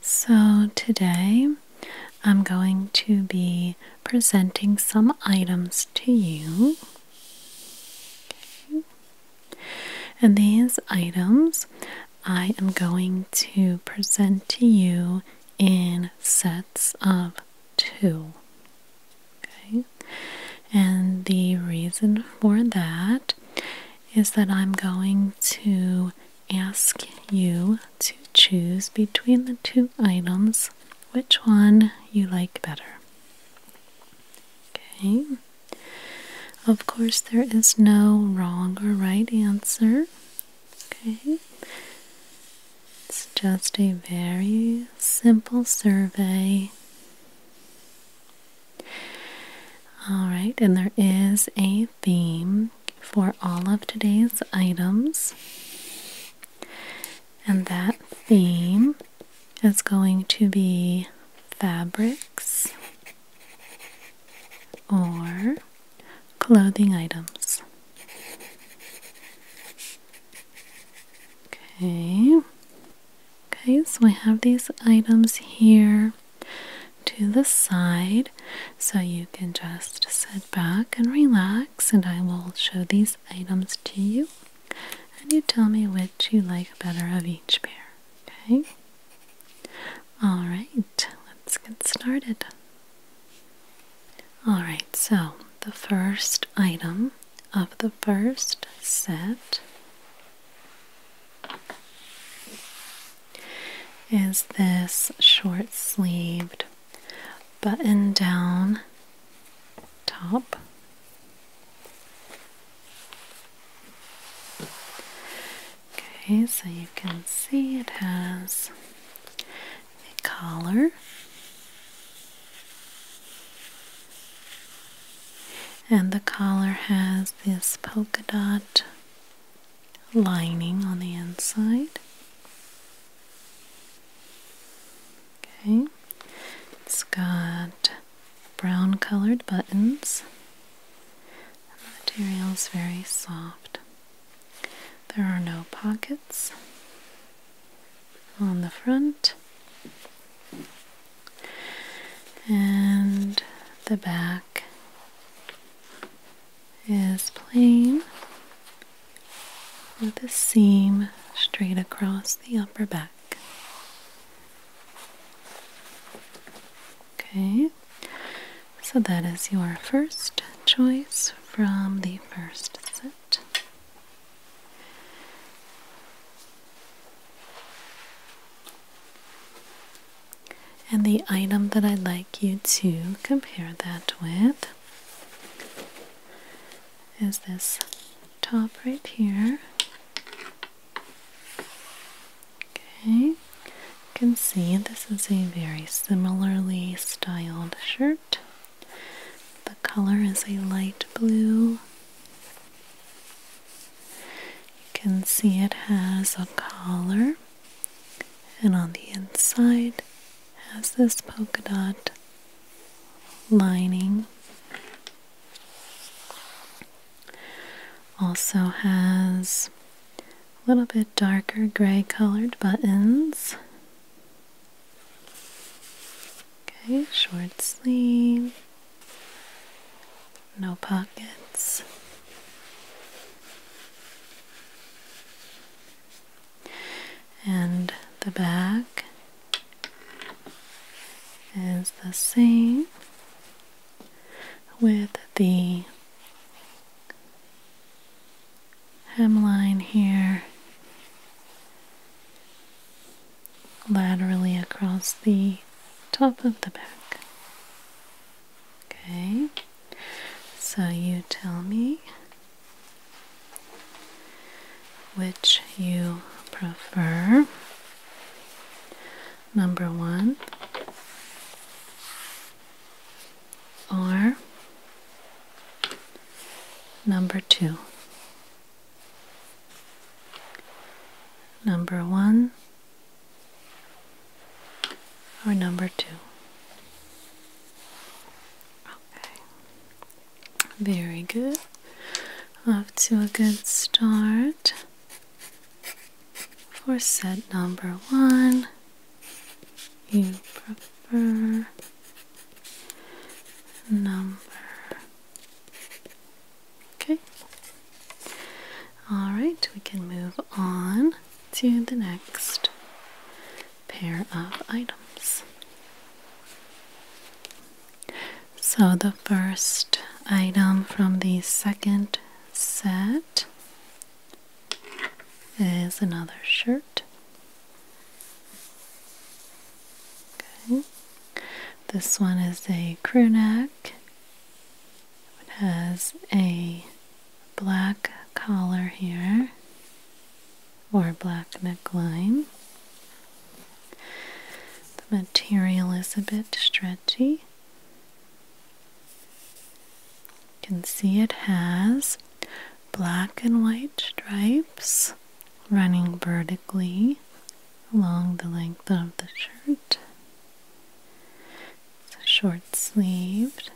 So today I'm going to be presenting some items to you. And these items I am going to present to you in sets of two. Okay, and the reason for that is that I'm going to ask you to choose between the two items which one you like better. Okay, of course, there is no wrong or right answer. Okay. It's just a very simple survey all right, and there is a theme for all of today's items, and that theme is going to be fabrics or clothing items. Okay. Okay, so I have these items here to the side so you can just sit back and relax, and I will show these items to you, and you tell me which you like better of each pair. Okay, all right, let's get started. All right, so the first item of the first set is this short sleeved button down top. Okay, so you can see it has a collar and the collar has this polka dot lining on the inside. Okay, it's got brown colored buttons. The material is very soft. There are no pockets on the front and the back is plain with a seam straight across the upper back. Okay, so that is your first choice from the first set. And the item that I'd like you to compare that with is this top right here. Okay, you can see this is a very similarly styled shirt color is a light blue. You can see it has a collar, and on the inside has this polka dot lining. Also has a little bit darker gray colored buttons. Okay, short sleeve, no pockets. And the back is the same with the hemline here laterally across the top of the back. Okay, so you tell me which you prefer. Number one or number two number one or number two. Okay, very good. Off to a good start for set number one. You prefer number Okay. All right, we can move on to the next pair of items. So, the first item from the second set is another shirt. This one is a crew neck. It has a black collar here or black neckline. The material is a bit stretchy. You can see it has black and white stripes running vertically along the length of the shirt. It's a short sleeved.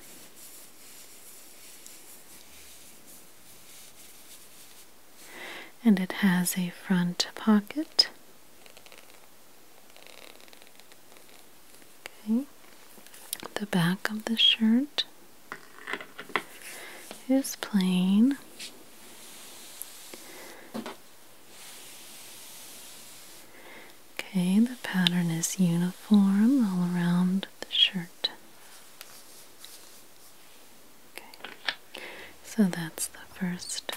And it has a front pocket. Okay. The back of the shirt is plain. Okay, the pattern is uniform all around the shirt. Okay, so that's the first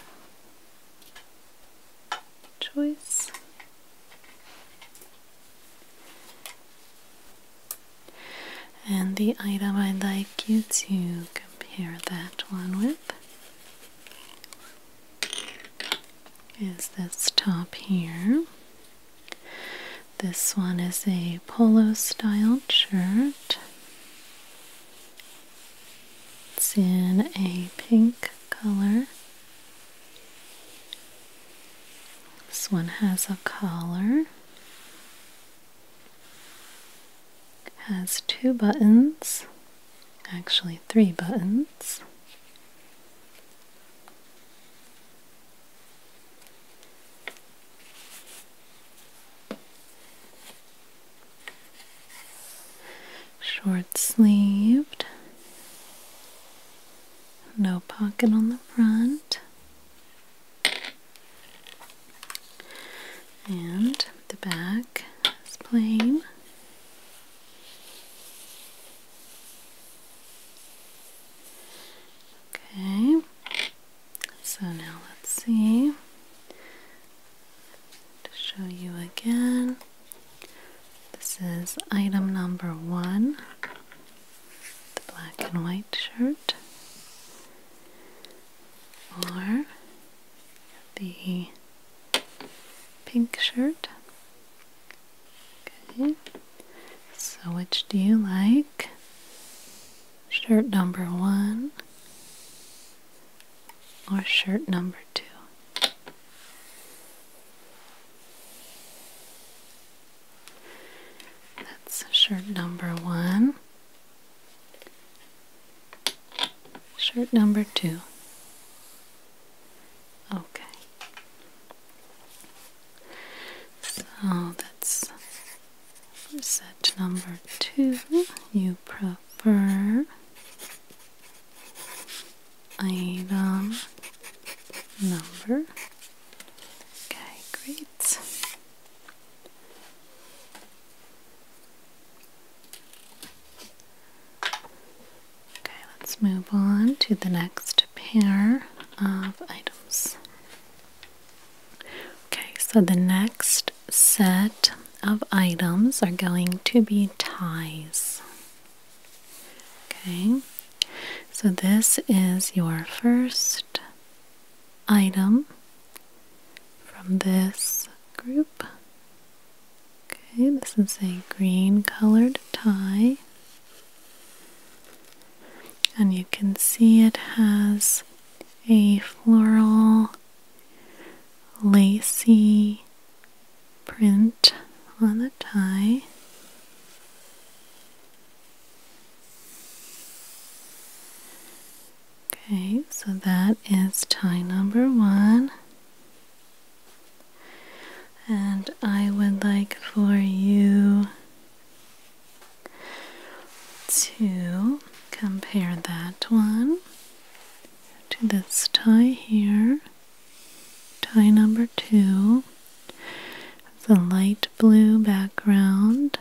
choice. And the item I'd like you to compare that one with is this top here. This one is a polo style shirt. It's in a pink color. This one has a collar. Has two buttons, actually, three buttons. Short sleeved, no pocket on the front and the back is plain. Okay, so now let's see to show you again. This is item number one the black and white shirt, or the pink shirt. Okay, so which do you like? Shirt number one or shirt number two? That's shirt number one. Shirt number two. Okay. So that's set number two. You prefer item number. Okay, great. Okay, let's move on to the next pair of items. Okay, so the next set of items are going to be ties. Okay, so this is your first item from this group. Okay, this is a green colored tie. And you can see it has a floral, lacy print on the tie. Okay, so that is tie number one. And I would like for you to compare that one to this tie here. Tie number two. a light blue background.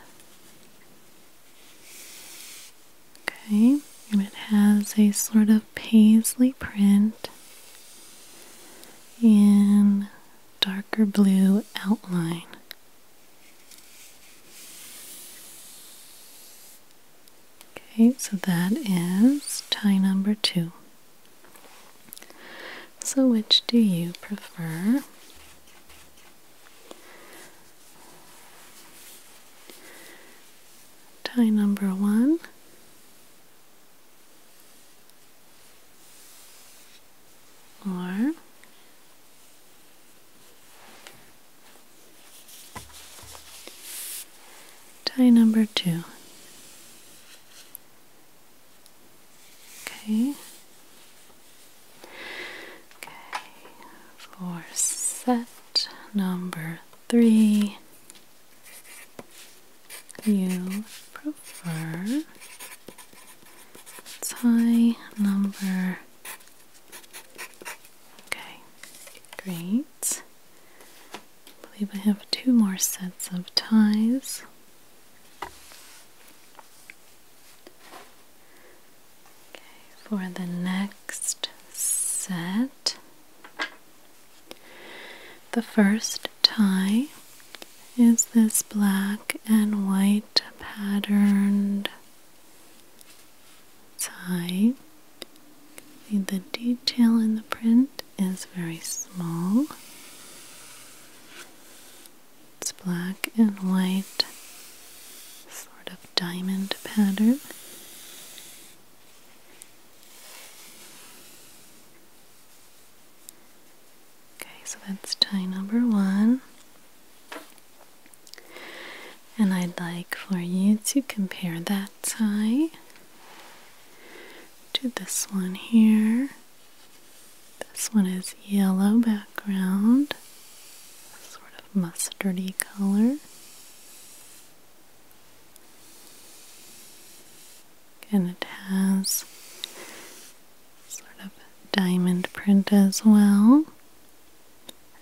Okay, and it has a sort of paisley print in darker blue outline. Okay, so that is tie number two. So, which do you prefer? Tie number one. Or tie number two. Okay. Okay, for set number three, you prefer tie number. Okay, great. believe I have two more sets of ties. Okay, for the next set, the first tie is this black and white patterned tie. the detail in the print is very small. It's black and white sort of diamond pattern. Okay, so that's tie number one. And I'd like for you to compare that tie to this one here. This one is yellow background, sort of mustardy color and it has sort of diamond print as well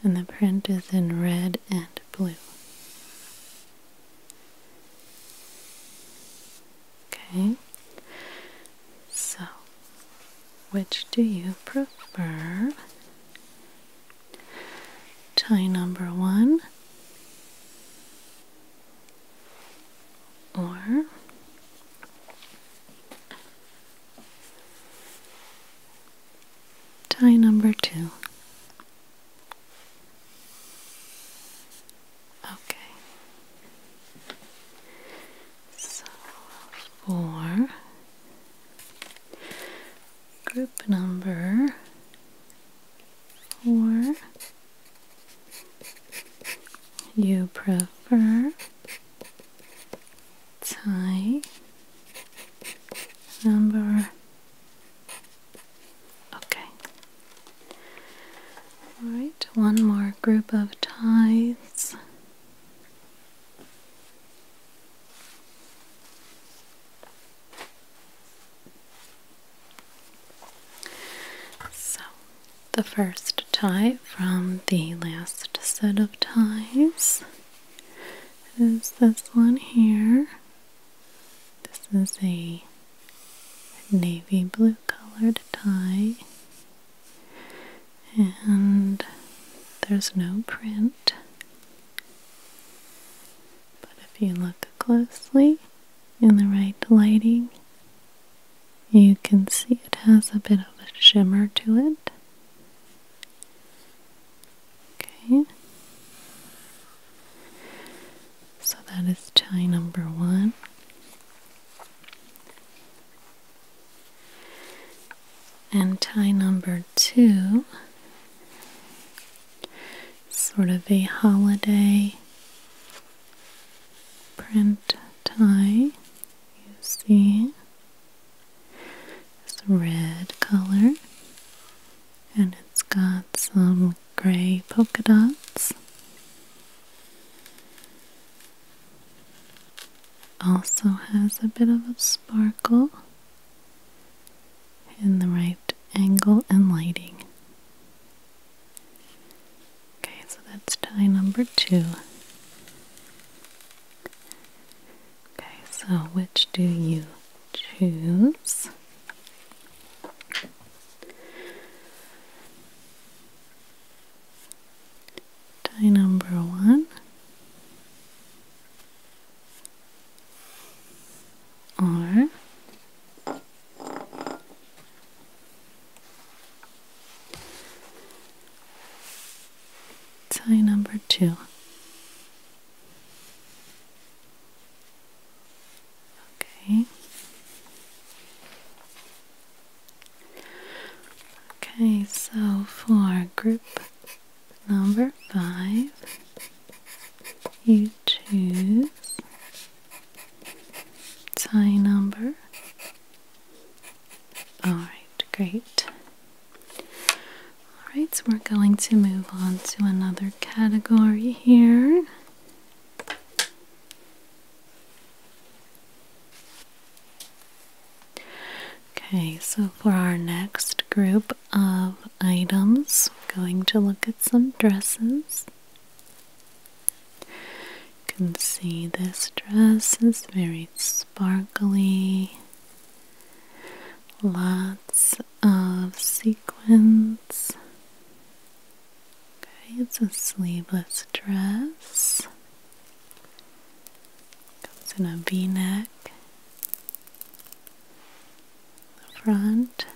and the print is in red and blue okay so which do you prefer Tie number one or tie number two. Okay. So, for group number four you prefer tie number okay all right one more group of ties so, the first tie from the last set of ties is this one here. This is a navy blue colored tie, and there's no print but if you look closely in the right lighting, you can see it has a bit of a shimmer to it. Okay. So that is tie number one and tie number two sort of a holiday print tie you see it's a red color and it's got some gray polka dots also has a bit of a sparkle in the right angle and lighting. Okay, so that's tie number two. Okay, so which do you choose? Tie number one or tie number two. Okay. Okay, so for group Number five, you choose tie number. Alright, great. Alright, so we're going to move on to another category here. Okay, so for our next group of items. going to look at some dresses. You can see this dress is very sparkly. Lots of sequins. Okay, it's a sleeveless dress. Comes in a v-neck. The front.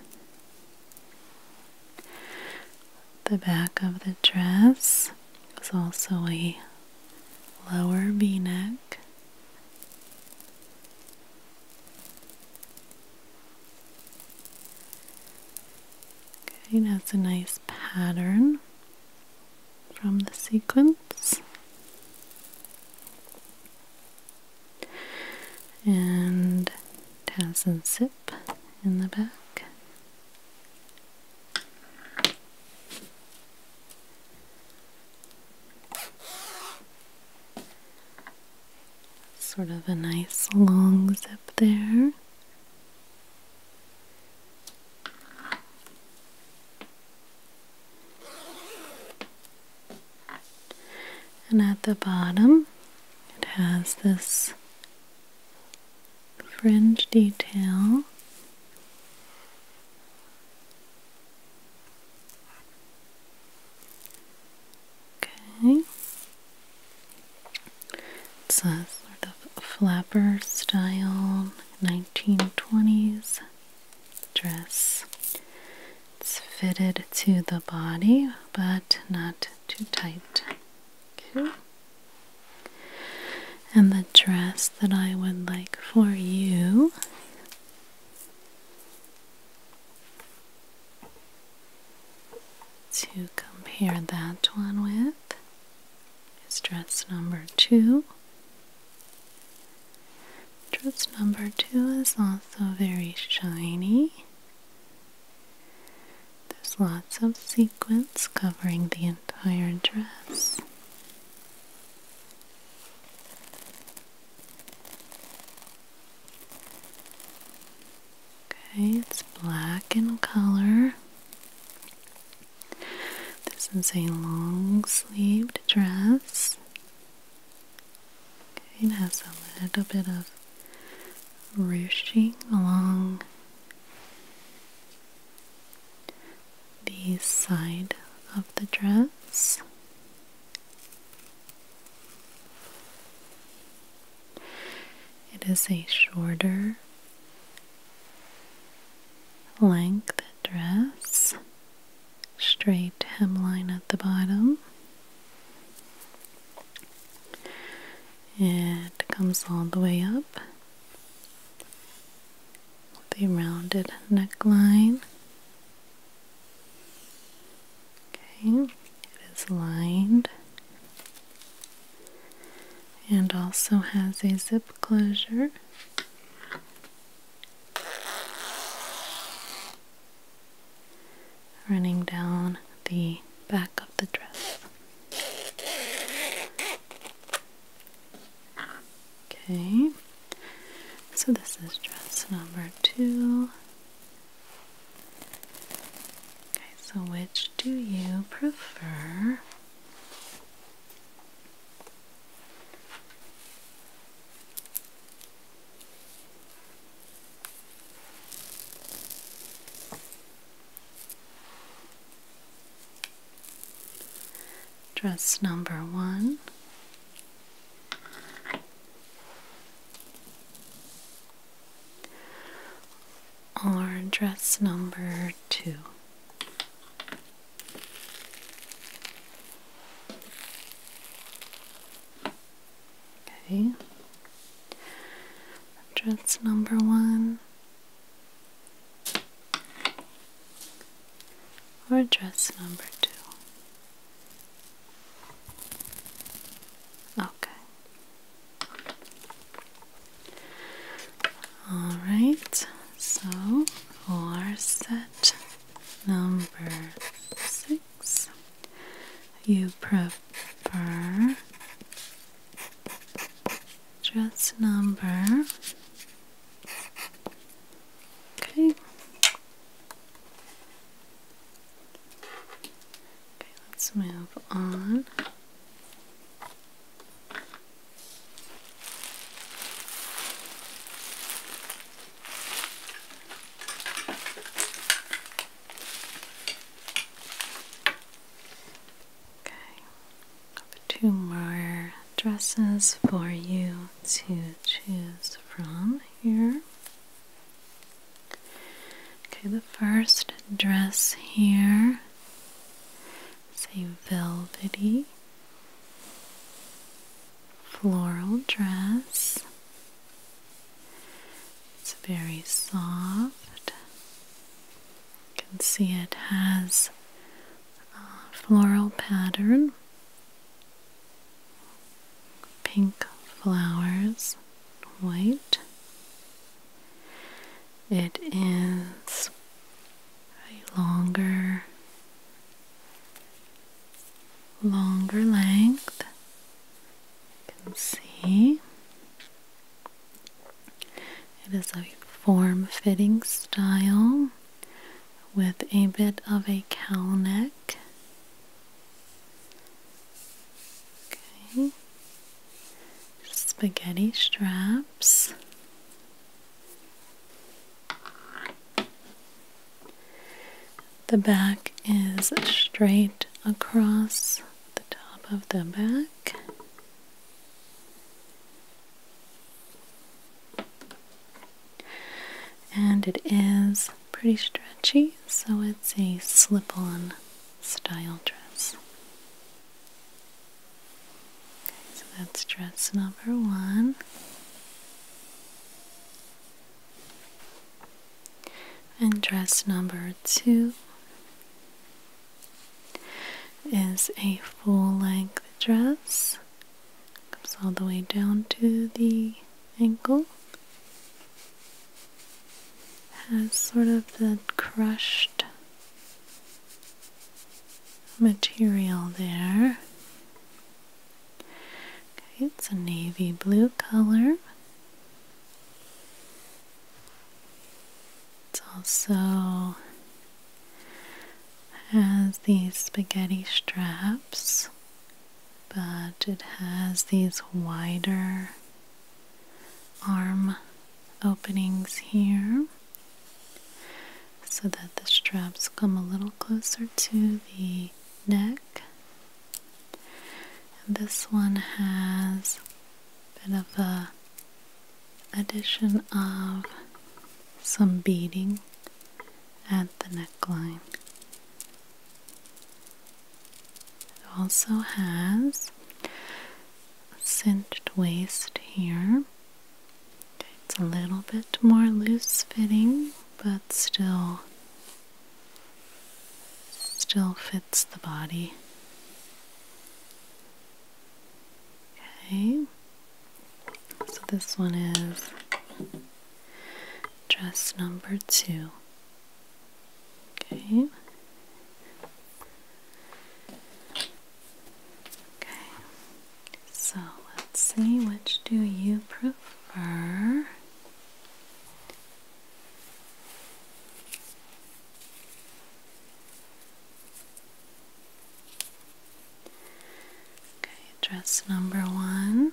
The back of the dress is also a lower v-neck. Okay, that's a nice pattern from the sequence and has a zip in the back. Sort of a nice long zip there. And at the bottom, it has this fringe detail. Okay. It's a sort of flapper style 1920s dress. It's fitted to the body, but not too tight. Okay. And the dress that I would like for you to compare that one with is dress number two. Dress number two is also very shiny. There's lots of sequins covering the entire dress. Okay, it's black in color. This is a long sleeved dress. Okay, it has a little bit of ruching along the side of the dress. It is a shorter length dress straight hemline at the bottom. It comes all the way up with a rounded neckline. Okay, it is lined and also has a zip closure running down the back of the dress. Okay, so this is dress number two. Okay, so which do you prefer? Dress number one. Or dress number two. Okay. Address number one or address number two. Okay. All right. So, we are set Number six, you prefer dress number. Okay. Okay, let's move on. Okay, two more dresses for you to choose from here. Okay, the first dress here is a velvety floral dress. It's very soft. You can see it has a floral pattern, pink flowers, white. It is a longer longer length. You can see it is a form fitting style with a bit of a cowl neck. Okay. Spaghetti straps. The back is straight across the top of the back. And it is pretty stretchy, so it's a slip on style dress. so that's dress number one. And dress number two is a full length dress, comes all the way down to the ankle, has sort of the crushed material there it's a navy blue color. It also has these spaghetti straps, but it has these wider arm openings here so that the straps come a little closer to the neck. And this one has a bit of a addition of some beading at the neckline. also has cinched waist here. It's a little bit more loose fitting but still still fits the body. Okay. So this one is dress number 2. Okay. Okay. So, let's see which do you prefer? Okay, dress number one.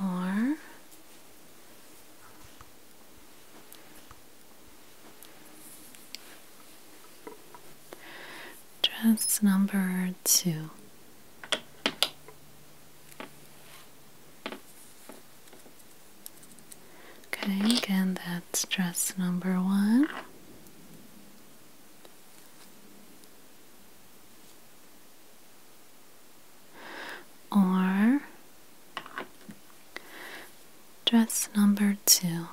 Or Dress number two. Okay, again, that's dress number one. Or dress number two.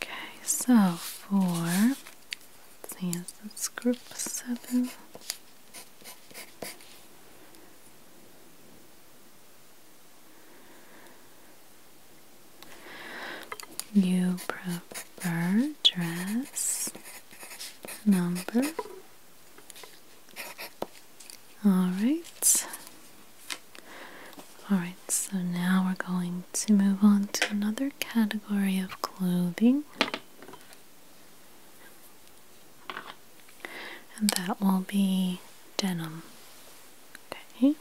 Okay, so for see, is this group seven? You prefer dress number. Alright. Alright, so now we're going to move on to another category of clothing. And that will be denim. Okay.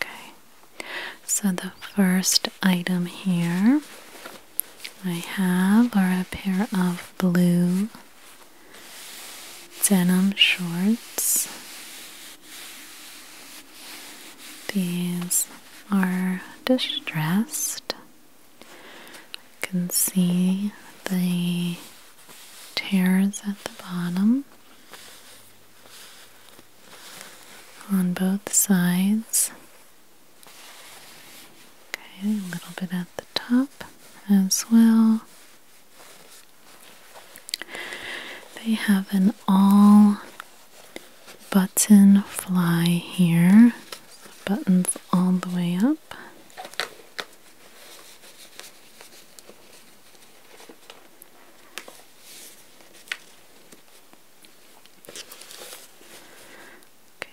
Okay, so the first item here I have are a pair of blue denim shorts. These are distressed. You can see the tears at the bottom on both sides. Okay, a little bit at the top as well. They have an all button fly here. buttons all the way up.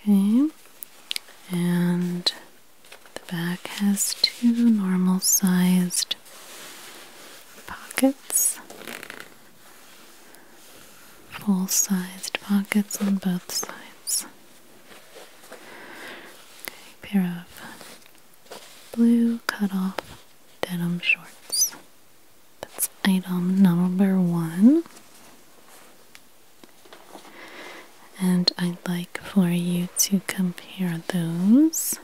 Okay, and the back has two normal sized pockets, full sized pockets on both sides. Okay, pair of blue cut off denim shorts. That's item number one. And I'd like for you to compare those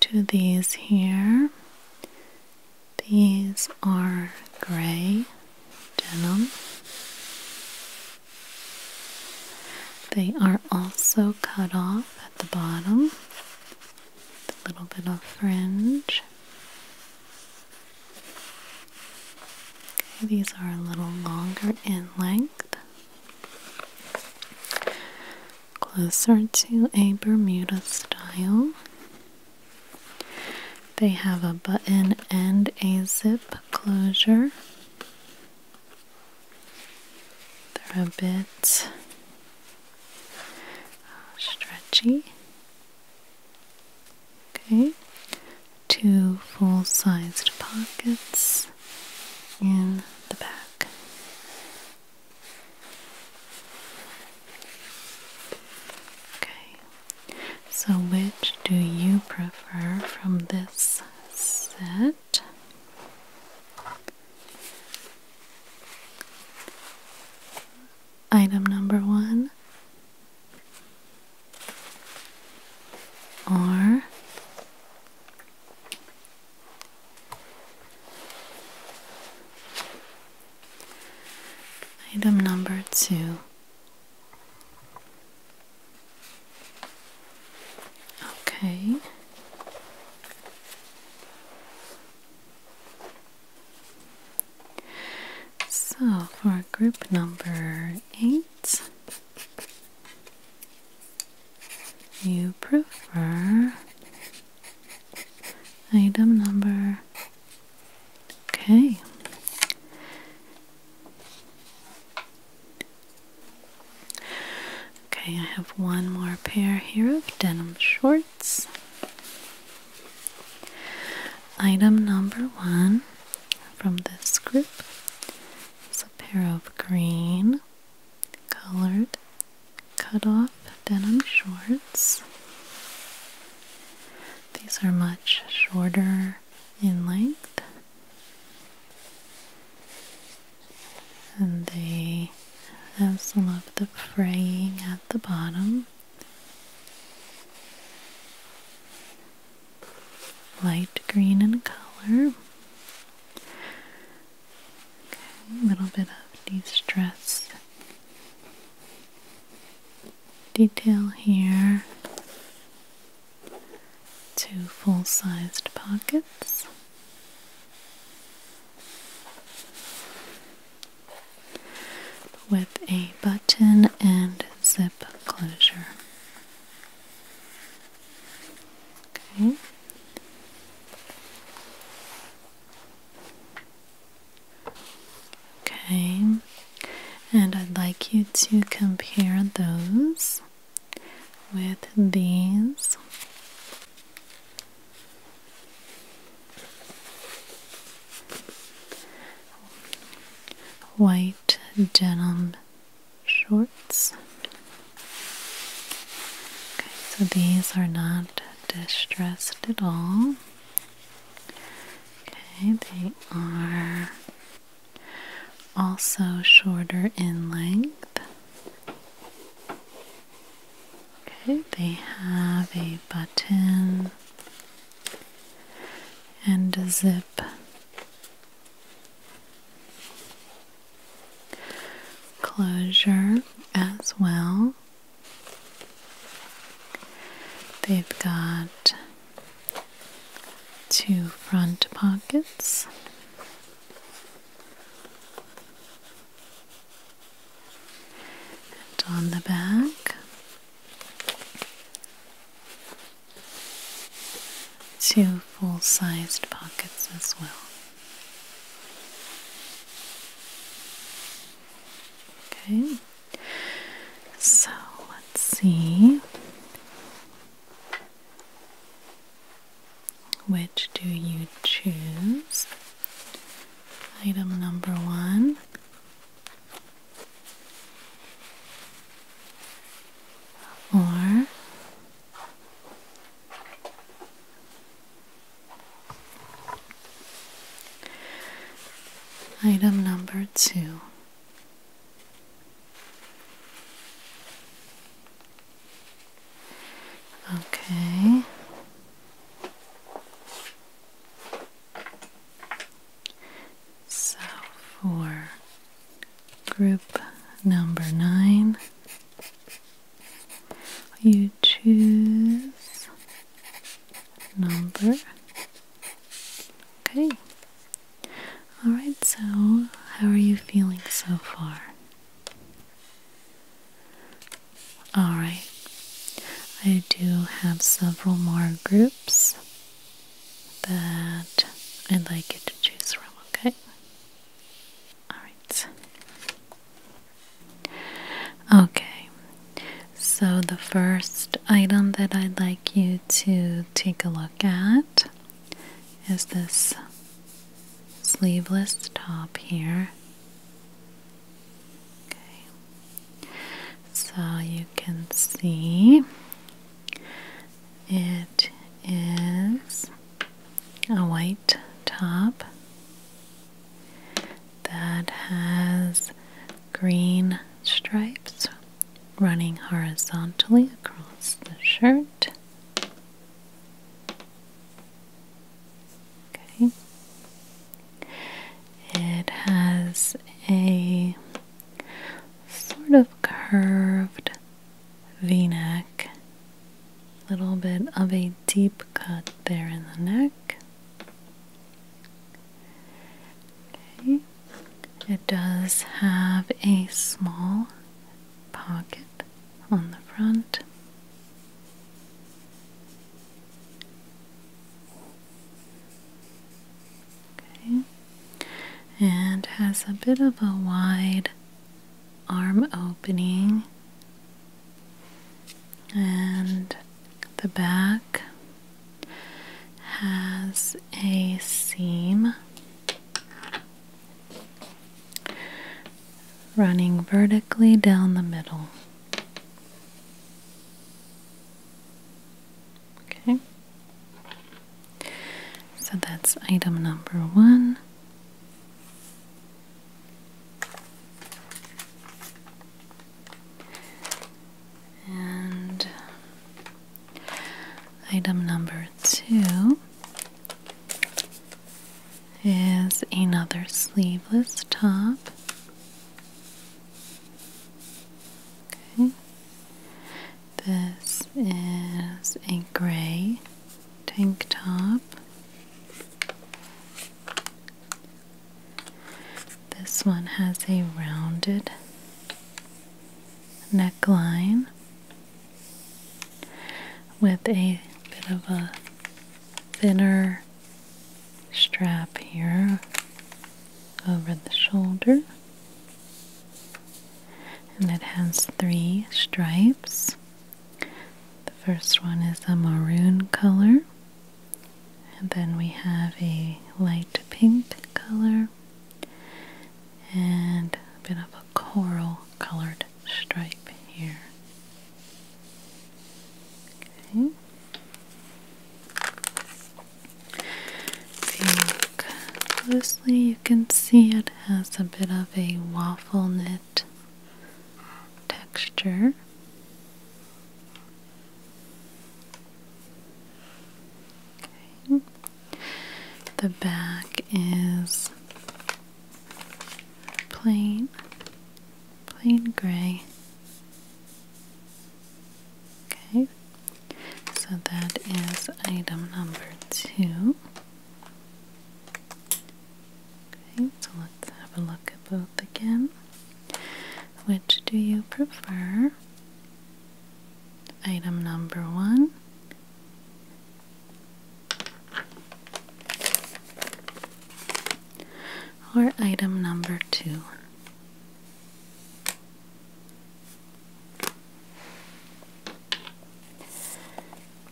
to these here. These are gray denim. They are also cut off at the bottom a little bit of fringe. these are a little longer in length, closer to a Bermuda style. They have a button and a zip closure. They're a bit uh, stretchy. Okay, two full sized pockets in the back. Okay, so which do you prefer from this set? Item number one are item number two. Okay. So for group number eight, you prefer item number. Okay. Okay, I have one more pair here of denim shorts. Item number one from this group is a pair of green colored cut off denim shorts. These are much shorter in length and they have some of the fraying at the bottom. Light green in color. Okay, a little bit of de detail here. Two full-sized pockets with a button and zip closure. Okay. Okay, and I'd like you to compare those with these White denim shorts. Okay, so these are not distressed at all. Okay, they are also shorter in length. Okay, they have a button and a zip. Closure as well. They've got two front pockets and on the back. Two full sized pockets as well. Okay, so let's see. Which do you choose? Item number one. Or item number two. Okay. So for group number nine, you choose number. Okay. Alright, so how are you feeling so far? Alright, I do have several more groups that I'd like you to choose from, okay? Alright. Okay, so the first item that I'd like you to take a look at is this sleeveless top here Okay. So you can see it is a white top that has green stripes running horizontally across the shirt. Okay. It has a sort of curved v neck, a little bit of a deep cut there in the neck. Okay. It does have a small pocket on the front. Okay. And has a bit of a wide arm opening, and the back has a seam running vertically down the middle. Okay. So that's item number one. And item number two is another sleeveless top. Okay. This is a gray tank top. This one has a rounded neckline with a bit of a thinner strap here over the shoulder. And it has three stripes. The first one is a maroon color, and then we have a light pink color, and a bit of a coral colored stripe here. Okay. If you look closely, you can see it has a bit of a waffle knit texture. Okay. The back is plain, plain gray. Okay, so that is item number two. Okay, so let's have a look at both again. Which do you prefer? Item number one or item number two.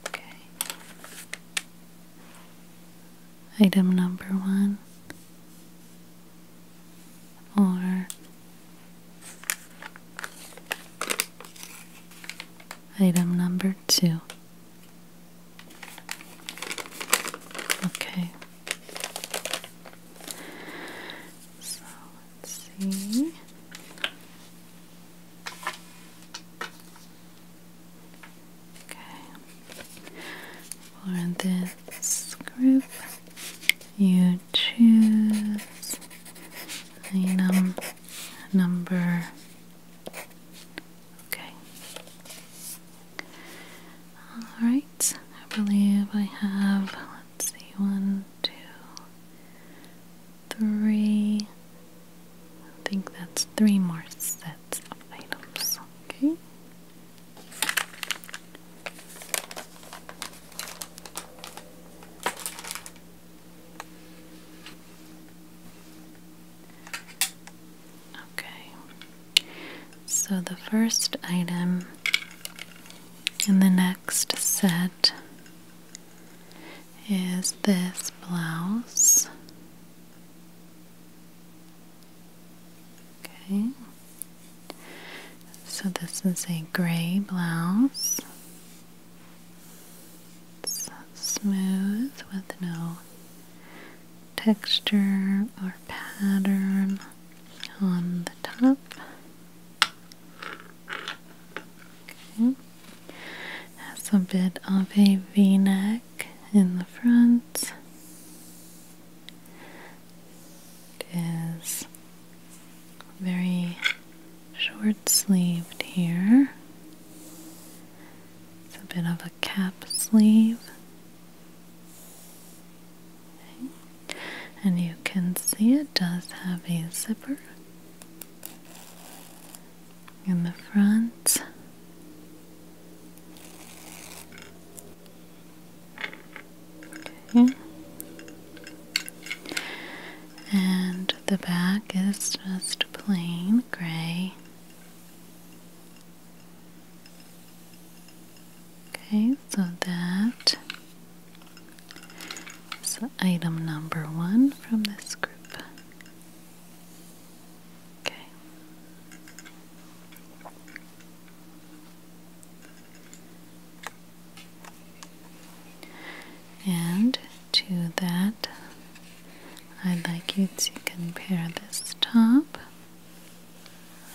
Okay. Item number one or item number two. Okay. So let's see. Okay. For this group, you choose the number Okay. Alright, I believe I have, let's see, one, two, three. I think that's three more sets of items. Okay. Okay. So the first item in the next set is this blouse. Okay. So this is a gray blouse. It's smooth with no texture or pattern on the top. Okay. Has a bit of a v-neck in the front. It is very short sleeved here. It's a bit of a cap sleeve. And you can see it does have a zipper in the front. Okay. And the back is just plain gray Okay, so that is item number one from this group. Okay. And to that I'd like you to compare this top,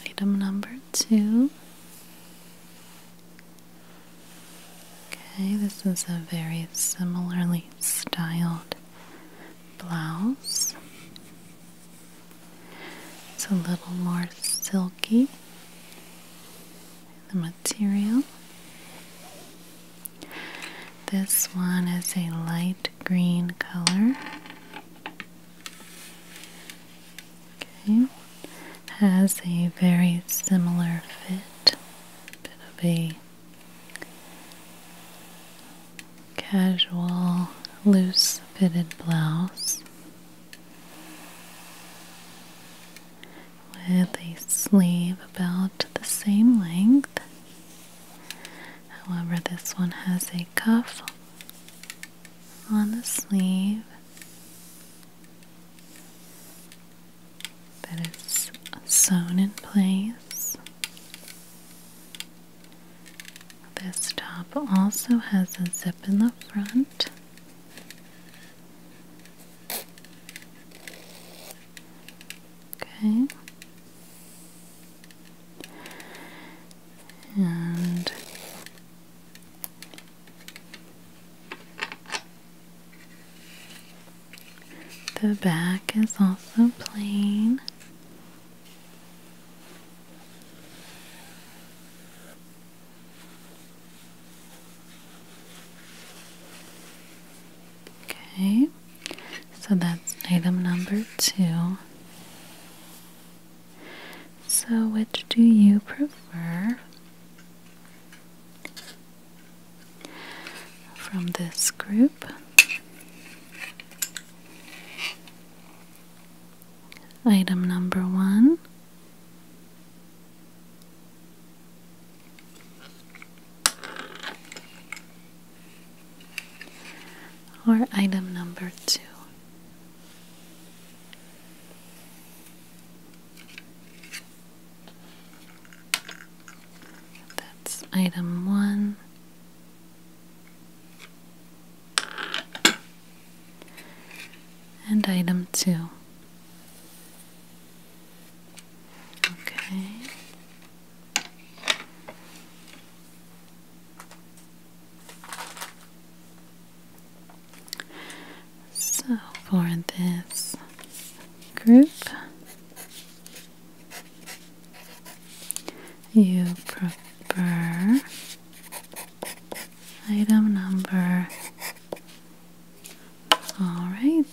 item number two. Okay, this is a very similarly styled blouse. It's a little more silky, the material. This one is a light green color. Okay. Has a very similar fit. Bit of a casual, loose fitted blouse with a sleeve about the same length However, this one has a cuff on the sleeve that is sewn in place. This top also has a zip in the front. Okay and the back is also plain. Okay. So that's item number two. So, which do you prefer from this group? Item number one or item number two. That's item one. And item two. Okay. So for this group, you prefer item number. All right.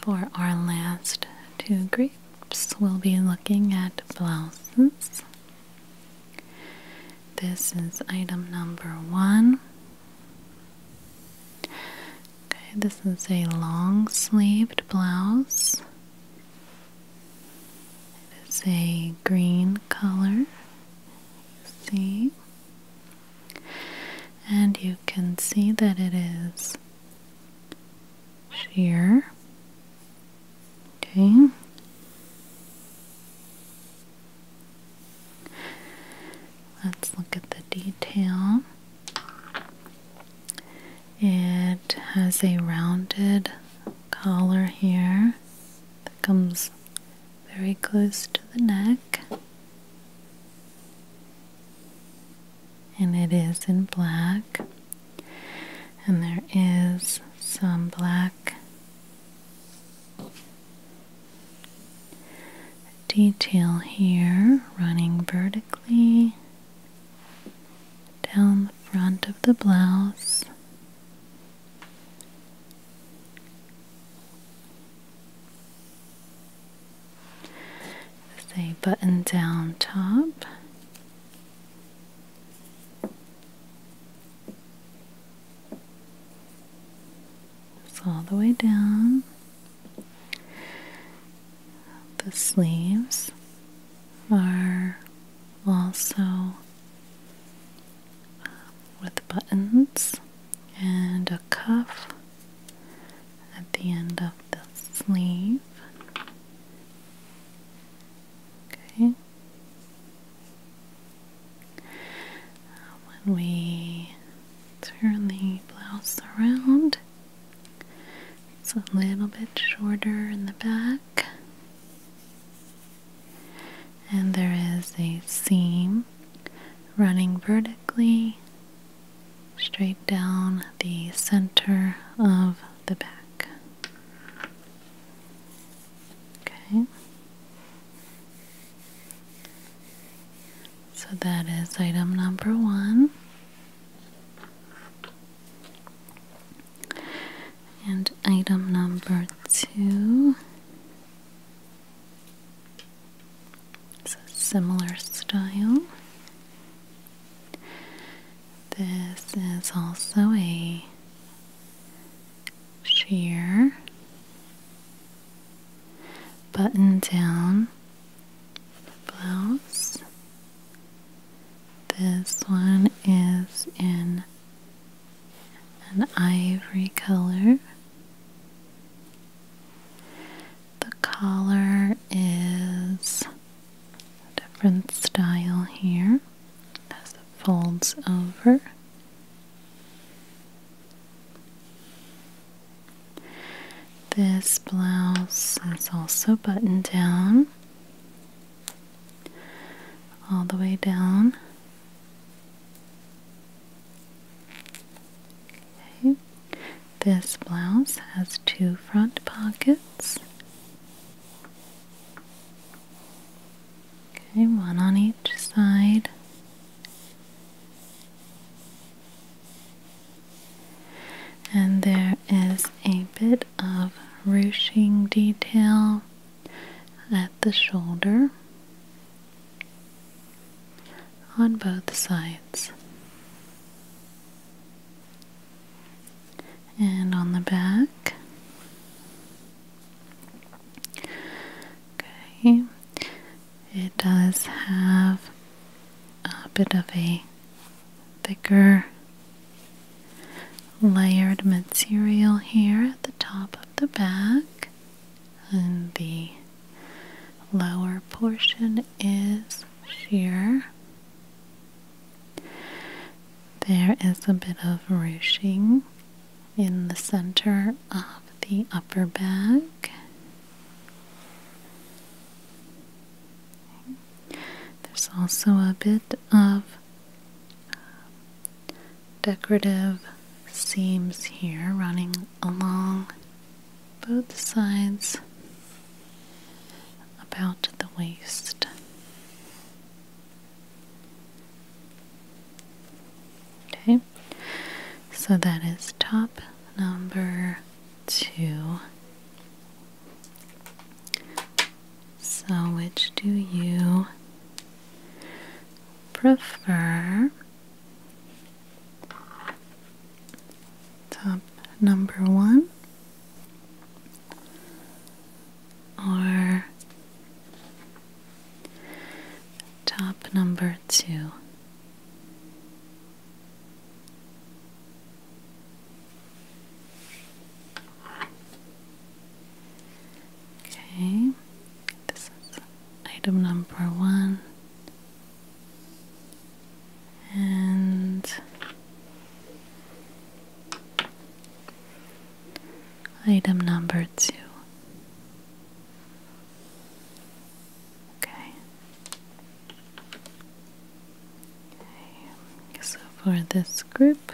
For our last two groups, we'll be looking at blouses this is item number one. Okay, this is a long sleeved blouse. It is a green color. See? And you can see that it is sheer Okay. Let's look at the detail. It has a rounded collar here that comes very close to the neck, and it is in black, and there is some black detail here running vertically down the front of the blouse. This a button down top. It's all the way down the sleeves are also um, with buttons and a cuff at the end of the sleeve. Okay. When we turn the blouse around, it's a little bit shorter in the back, and there is a seam running vertically straight down the center of the back. Okay. So that is item number one. And item number two It's a similar style. This is also a sheer, button down blouse. This one is in an ivory color. The collar is different style here as it folds over. This blouse is also buttoned down all the way down. Okay. This blouse has two front pockets. Okay, one on each side. And there is a bit of ruching detail at the shoulder on both sides. And on the back, Okay, it does have a bit of a thicker layered material here at the top of the back, and the lower portion is sheer. There is a bit of ruching in the center of the upper back. There's also a bit of decorative seams here running along both sides about the waist. Okay, so that is top number two. So, which do you prefer? Top number one or Top number two. Okay, this is item number one, and Item number two. Okay. So for this group,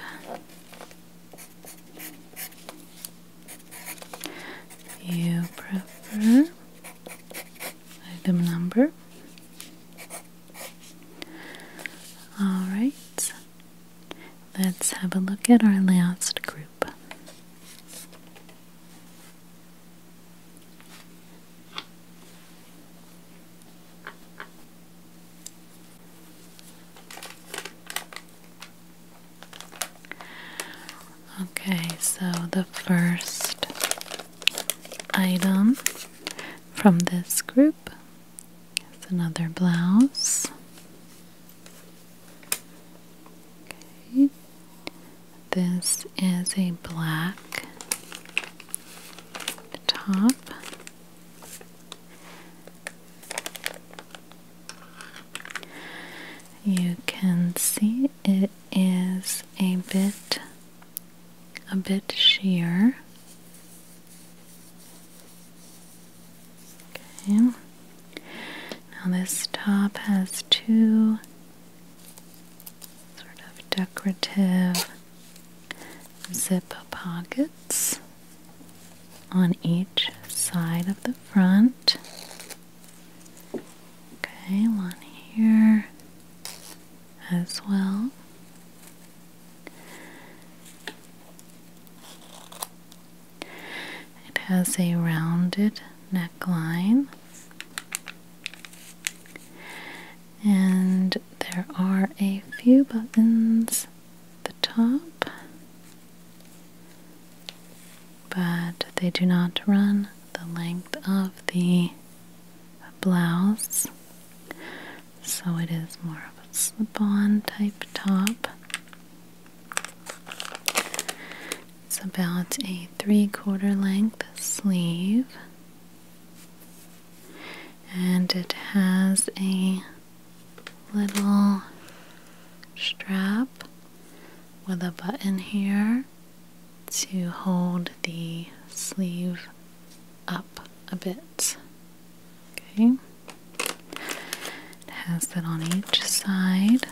you prefer item number. All right. Let's have a look at our last group. Okay, so the first item from this group Here's another blouse. Okay. This is a black top. You can see it is a bit a bit sheer Okay. Now this top has two sort of decorative zipper pockets on each side of the front. Okay, one here as well. It has a rounded neckline, and there are a few buttons at the top, but they do not run the length of the blouse, so it is more of a slip on type top. It's about a three quarter length sleeve, and it has a little strap with a button here to hold the sleeve up a bit. Okay. It has that on each side.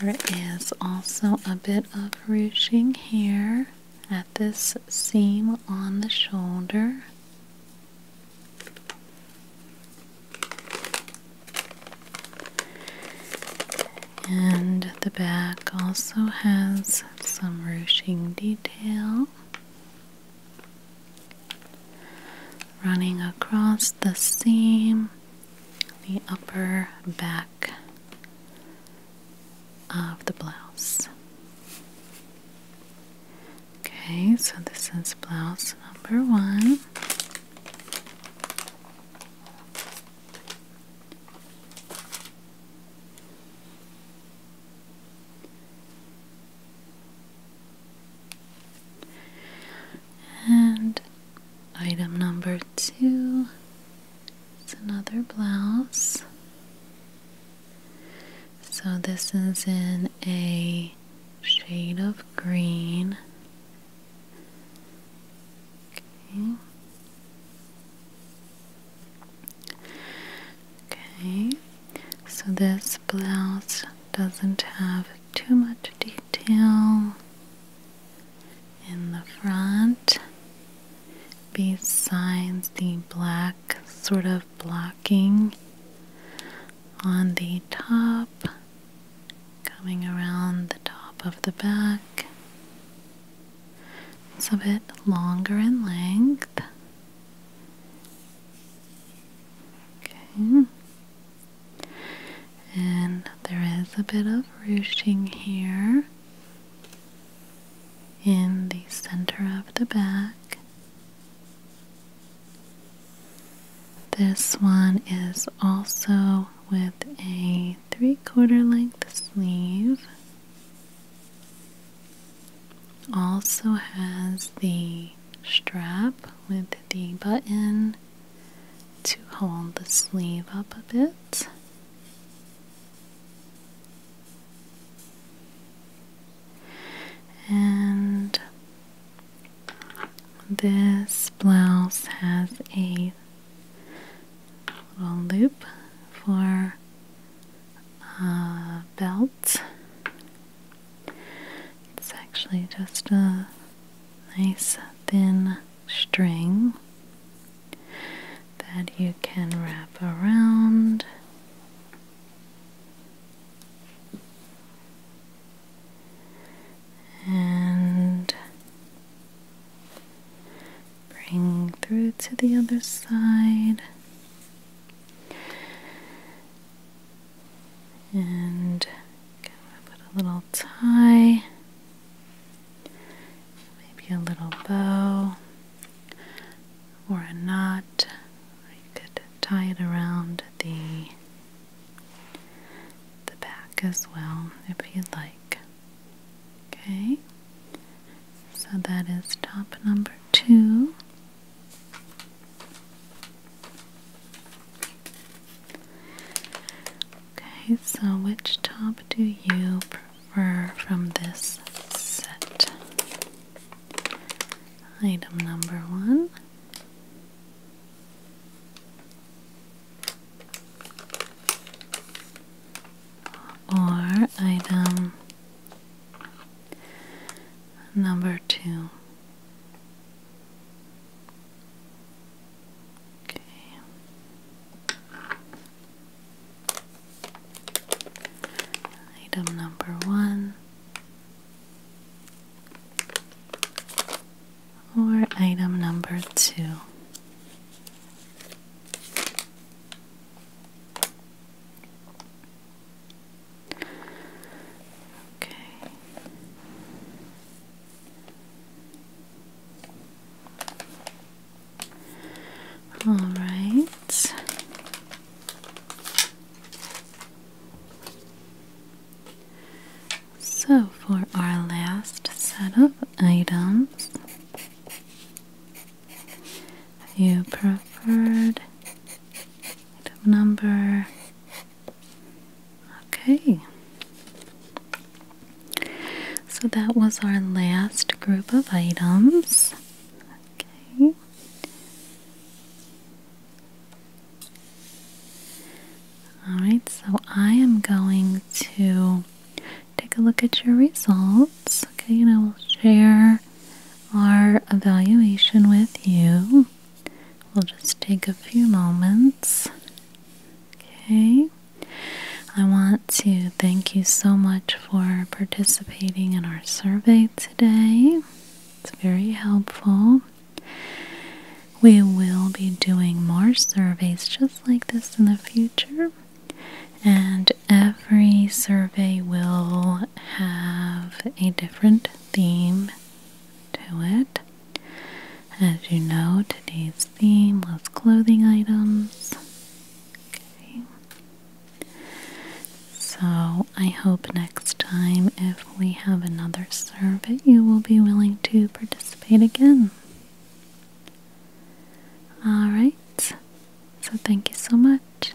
There is also a bit of ruching here at this seam on the shoulder. And the back also has some ruching detail running across the seam, the upper back of the blouse. Okay, so this is blouse number one. And item number two is another blouse. So this is in a shade of green. Okay. Okay, so this blouse doesn't have too much detail in the front besides the black sort of blocking on the top coming around the top of the back. It's a bit longer in length Okay. And there is a bit of ruching here in the center of the back. This one is also with a three quarter length sleeve. Also has the strap with the button to hold the sleeve up a bit. And this blouse has a little loop for a uh, belt it's actually just a nice thin string that you can wrap around. And bring through to the other side, and put a little tie, maybe a little bow or a knot. Or could tie it around the the back as well if you'd like. Okay, so that is top number two. Okay, so which top do you prefer from this set? Item number one. Or item number two. Okay. Item number one or item number two. Okay. All right. So, for our last set of items, you preferred number. Okay. So that was our last group of items. Okay. Alright, so I am going to take a look at your results. Okay, and I will share our evaluation with you we'll just take a few moments. Okay. I want to thank you so much for participating in our survey today. It's very helpful. We will be doing more surveys just like this in the future, and every survey will have a different theme to it. As you know, today's theme was clothing items. So I hope next time, if we have another survey, you will be willing to participate again. Alright, so thank you so much.